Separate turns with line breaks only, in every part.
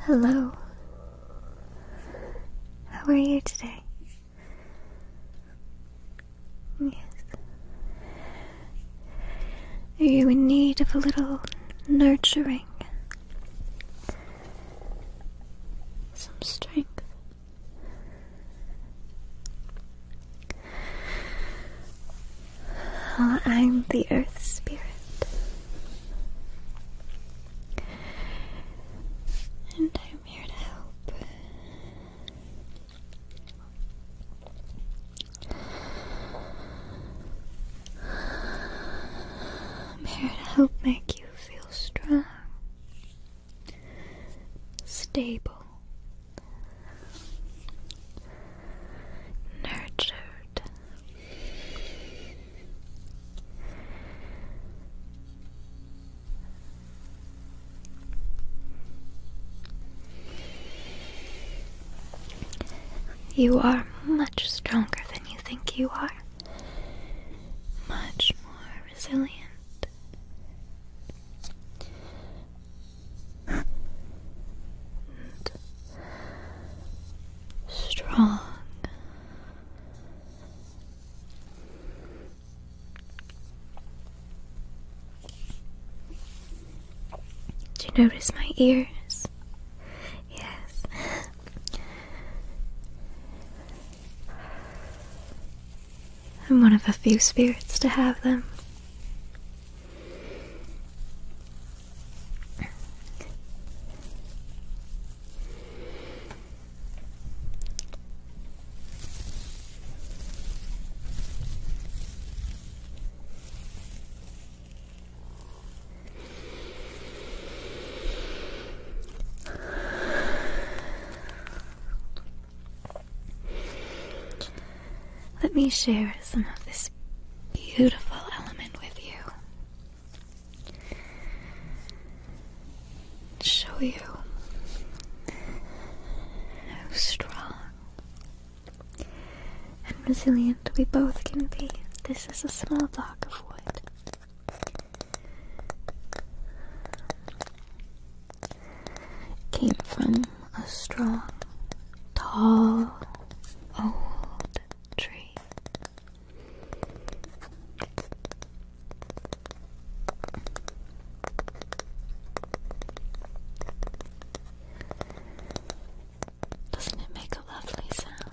Hello. How are you today? Yes. Are you in need of a little nurturing? Some strength? Ah, I'm the Earth Spirit. And I'm here to help. I'm here to help make you feel strong, stable, nurtured. You are much stronger than you think you are, much more resilient strong. Do you notice my ears? Yes. I'm one of a few spirits to have them. Let me share some of this beautiful element with you. Show you how strong and resilient we both can be. This is a small block of wood. came from a strong, tall old tree. Doesn't it make a lovely sound?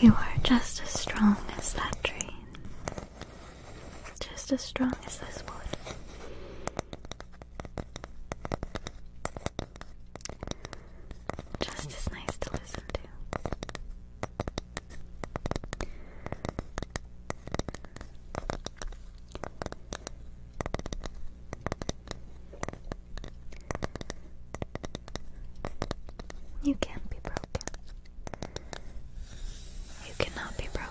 You are just as strong as that tree, just as strong as this wood. Just as nice to listen to. You can't be broken. You cannot be broken.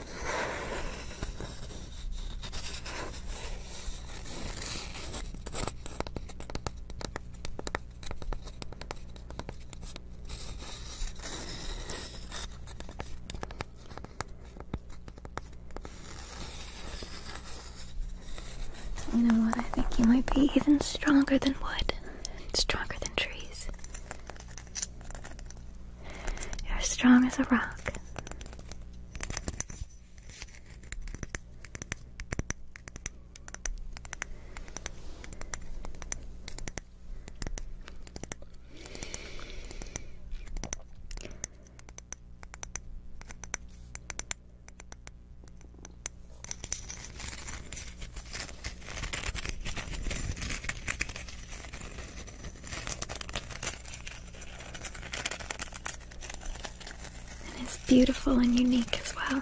You know what? I think you might be even stronger than wood, stronger than trees. You're as strong as a rock. And it's beautiful and unique as well.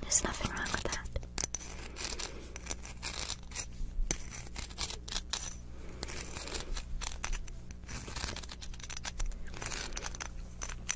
There's nothing wrong with that.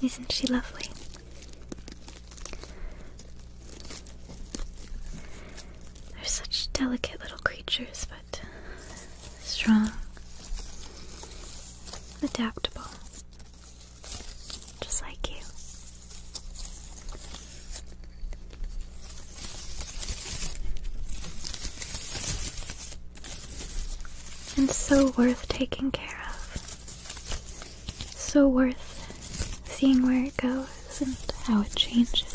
Isn't she lovely? They're such delicate little creatures, but strong, adaptable, just like you. And so worth taking care of. So worth seeing where it goes and how it changes.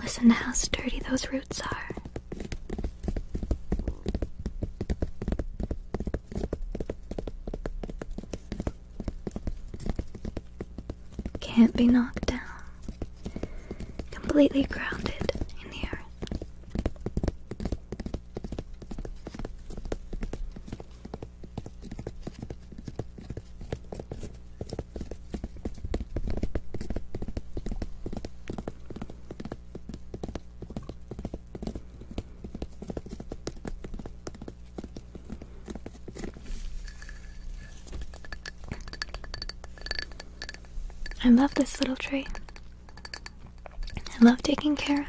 Listen to how sturdy those roots are. Can't be knocked down. Completely grounded in the earth. I love this little tree. I love taking care of it.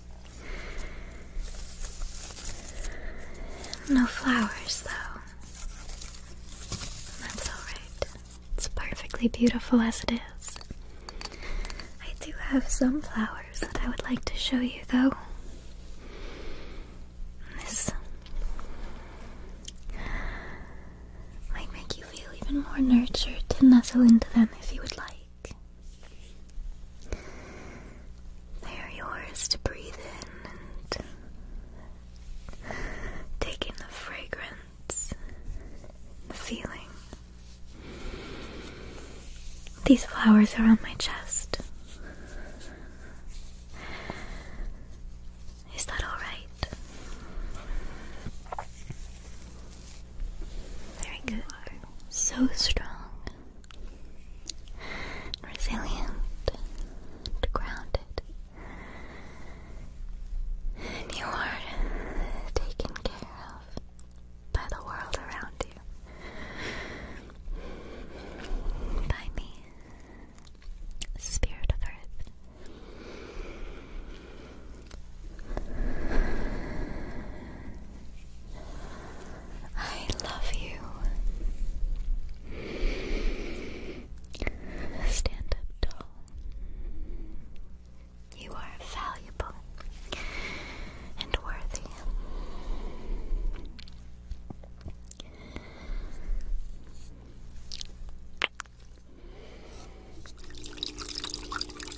No flowers, though. That's alright. It's perfectly beautiful as it is. I do have some flowers that I would like to show you, though. This might make you feel even more nurtured to nestle into them if you would like. They are yours to breathe in and take in the fragrance, the feeling. These flowers are on my chest. Is that alright? Very good. So strong, resilient, grounded. And you are taken care of by the world around you. By me, Spirit of Earth. I love you. Stand up tall. You are valuable and worthy.